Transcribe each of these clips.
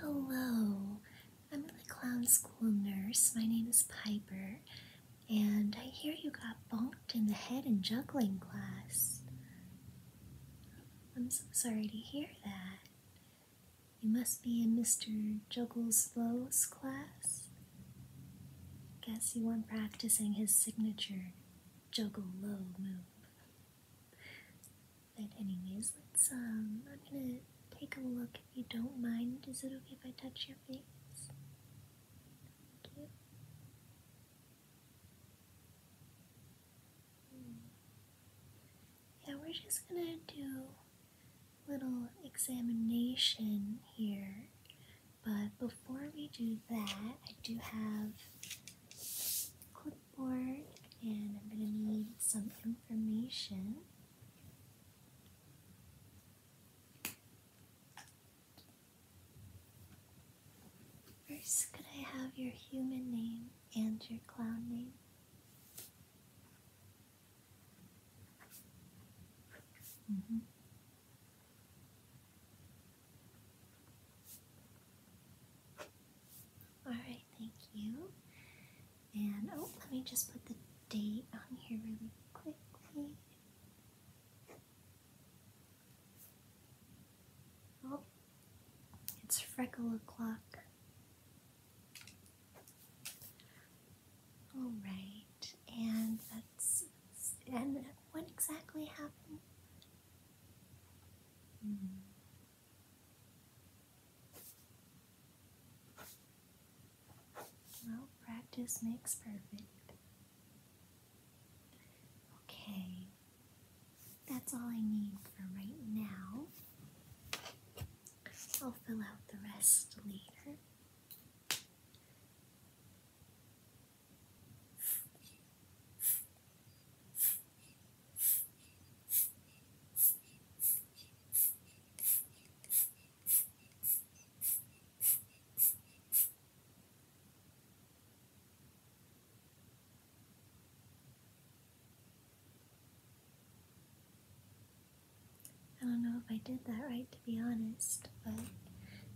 Hello, I'm the clown school nurse. My name is Piper, and I hear you got bonked in the head in juggling class. I'm so sorry to hear that. You must be in Mr. Juggle Low's class. Guess you weren't practicing his signature juggle low move. But anyways, let's um I'm gonna take a look if you don't mind. Is it okay if I touch your face? Hmm. Yeah, we're just gonna do a little examination here. But before we do that, I do have clipboard and I'm going to need some information. First, could I have your human name and your clown name? Mm -hmm. Alright, thank you. And oh, let me just put the date on here really quickly. Oh, it's freckle o'clock. Alright, and that's. And what exactly happened? Hmm. Well, practice makes perfect. Okay, that's all I need for right now. I'll fill out the rest later. I don't know if I did that right to be honest, but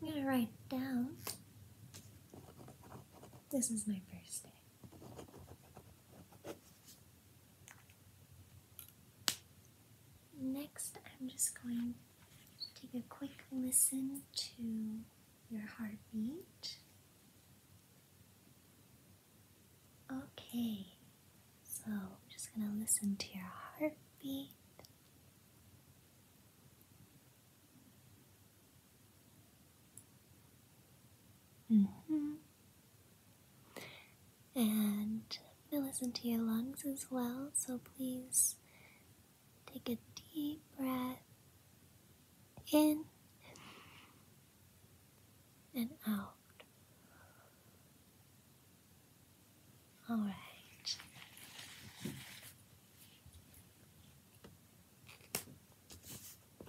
I'm gonna write down. This is my first day. Next, I'm just going to take a quick listen to your heartbeat. Okay, so I'm just going to listen to your heartbeat. -hmm. And I listen to your lungs as well, so please take a deep breath in and out. All right.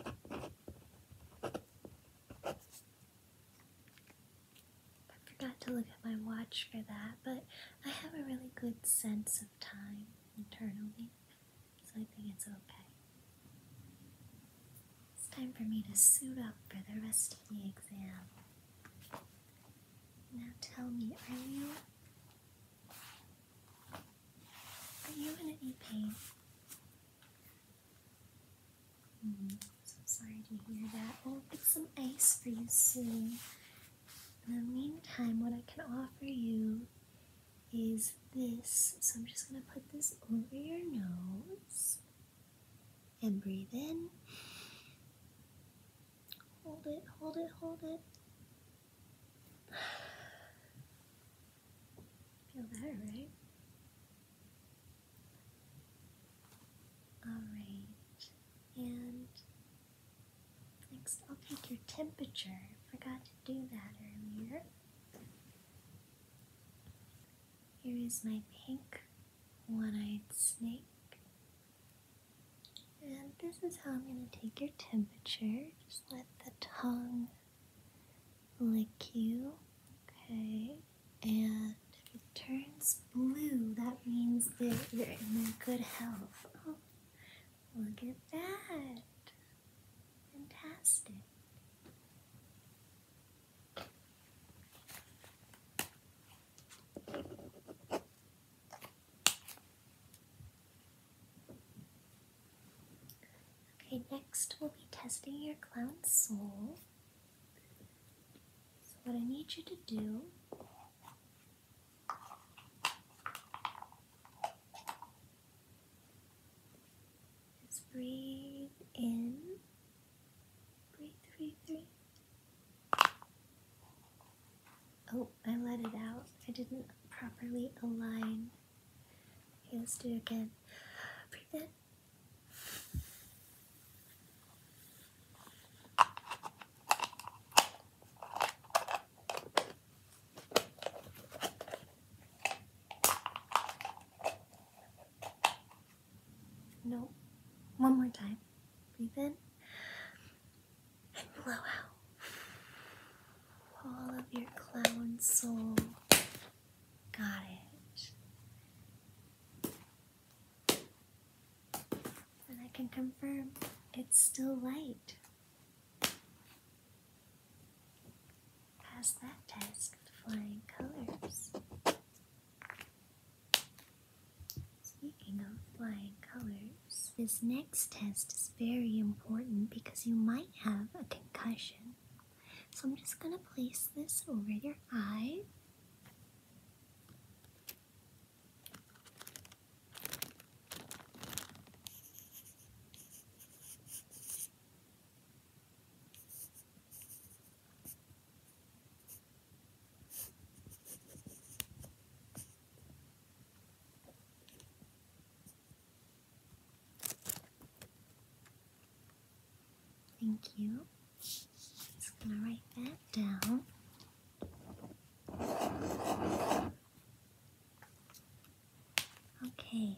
I forgot to look at my watch for that, but I have a really good sense of time internally, so I think it's okay. It's time for me to suit up for the rest of the exam. Now tell me, are you are you in any pain? Mm, so sorry to hear that. We'll get some ice for you soon. In the meantime, what I can offer you is this. So I'm just going to put this over your nose and breathe in Hold it, hold it, hold it. Feel that, right? Alright, and next I'll take your temperature. forgot to do that earlier. Here is my pink one eyed snake. And this is how I'm going to take your temperature. Just let the tongue lick you. Okay. And if it turns blue, that means that you're in good health. Oh, look at that. Fantastic. Okay, next we'll be testing your clown soul. So, what I need you to do is breathe in, breathe, Oh, I let it out. I didn't properly align. Okay, let's do it again. Breathe in. No. One more time. Breathe in and blow out all of your clown soul. Got it. And I can confirm it's still light. Pass that test with flying colors. Speaking of flying colors, this next test is very important because you might have a concussion. So I'm just going to place this over your eye. Thank you. Just gonna write that down. Okay.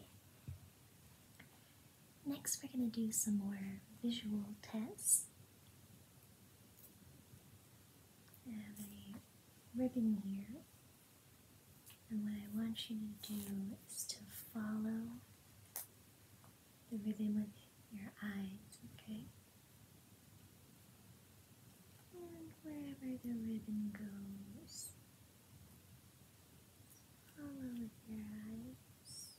Next, we're going to do some more visual tests. I have a ribbon here. And what I want you to do is to follow the rhythm with your eyes, okay? And wherever the ribbon goes, follow with your eyes.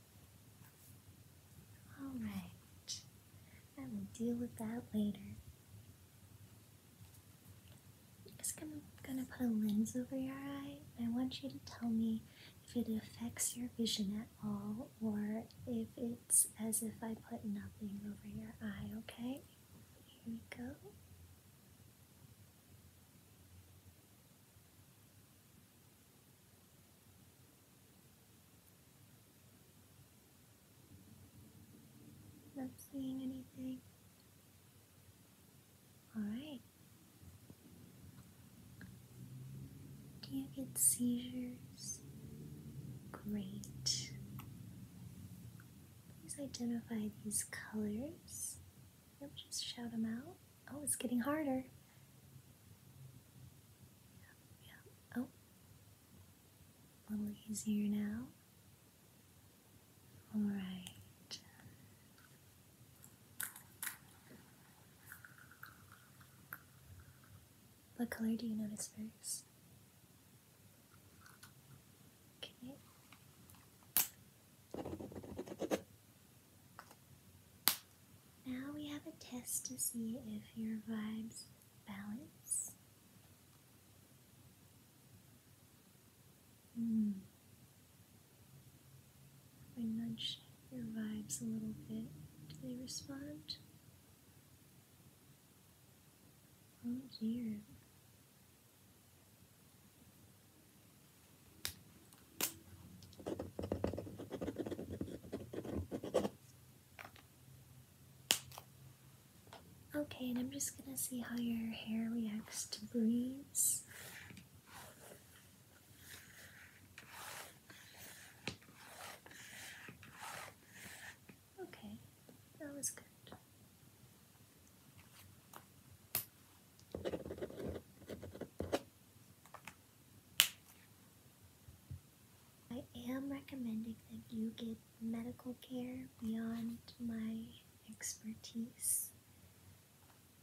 Alright, I will deal with that later. I'm just gonna put a lens over your eye. I want you to tell me if it affects your vision at all or if it's as if I put nothing over your eye, okay? Here we go. Not seeing anything. Alright. Do you get seizures? Great. Please identify these colors. Yep, just shout them out. Oh, it's getting harder. Oh, a little easier now. All right. What color do you notice first? Okay. Now we have a test to see if your vibes balance. Hmm. I nudge your vibes a little bit. Do they respond? Oh dear. Okay, and I'm just gonna see how your hair reacts to breeze. Okay, that was good. I am recommending that you get medical care beyond my expertise.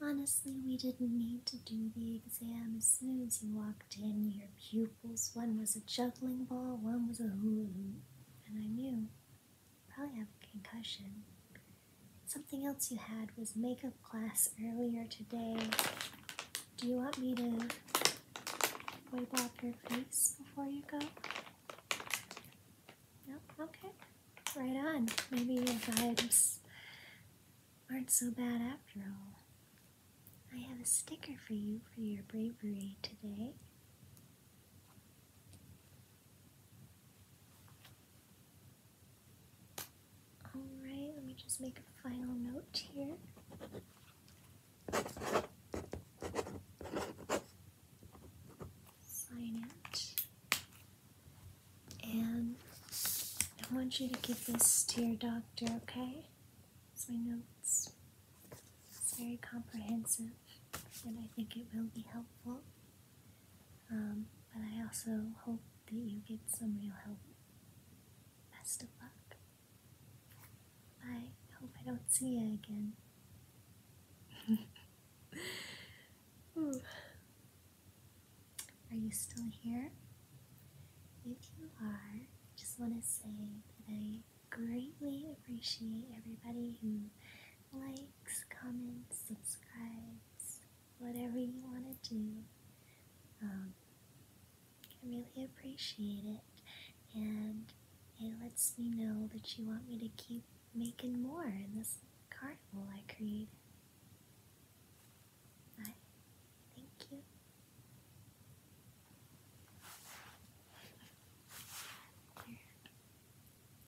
Honestly, we didn't need to do the exam as soon as you walked in. Your pupils, one was a juggling ball, one was a hula hoop, and I knew probably have concussion. Something else you had was makeup class earlier today. Do you want me to wipe off your face before you go? No? Okay. Right on. Maybe your vibes aren't so bad after all. I have a sticker for you for your bravery today. Alright, let me just make a final note here. Sign it. And I want you to give this to your doctor, okay? It's my notes. It's very comprehensive, and I think it will be helpful. Um, but I also hope that you get some real help. Best of luck. I hope I don't see you again. are you still here? If you are, I just want to say that I greatly appreciate everybody who likes likes, comments, subscribes, whatever you want to do. Um, I really appreciate it, and it lets me know that you want me to keep making more in this carnival I create. I thank you.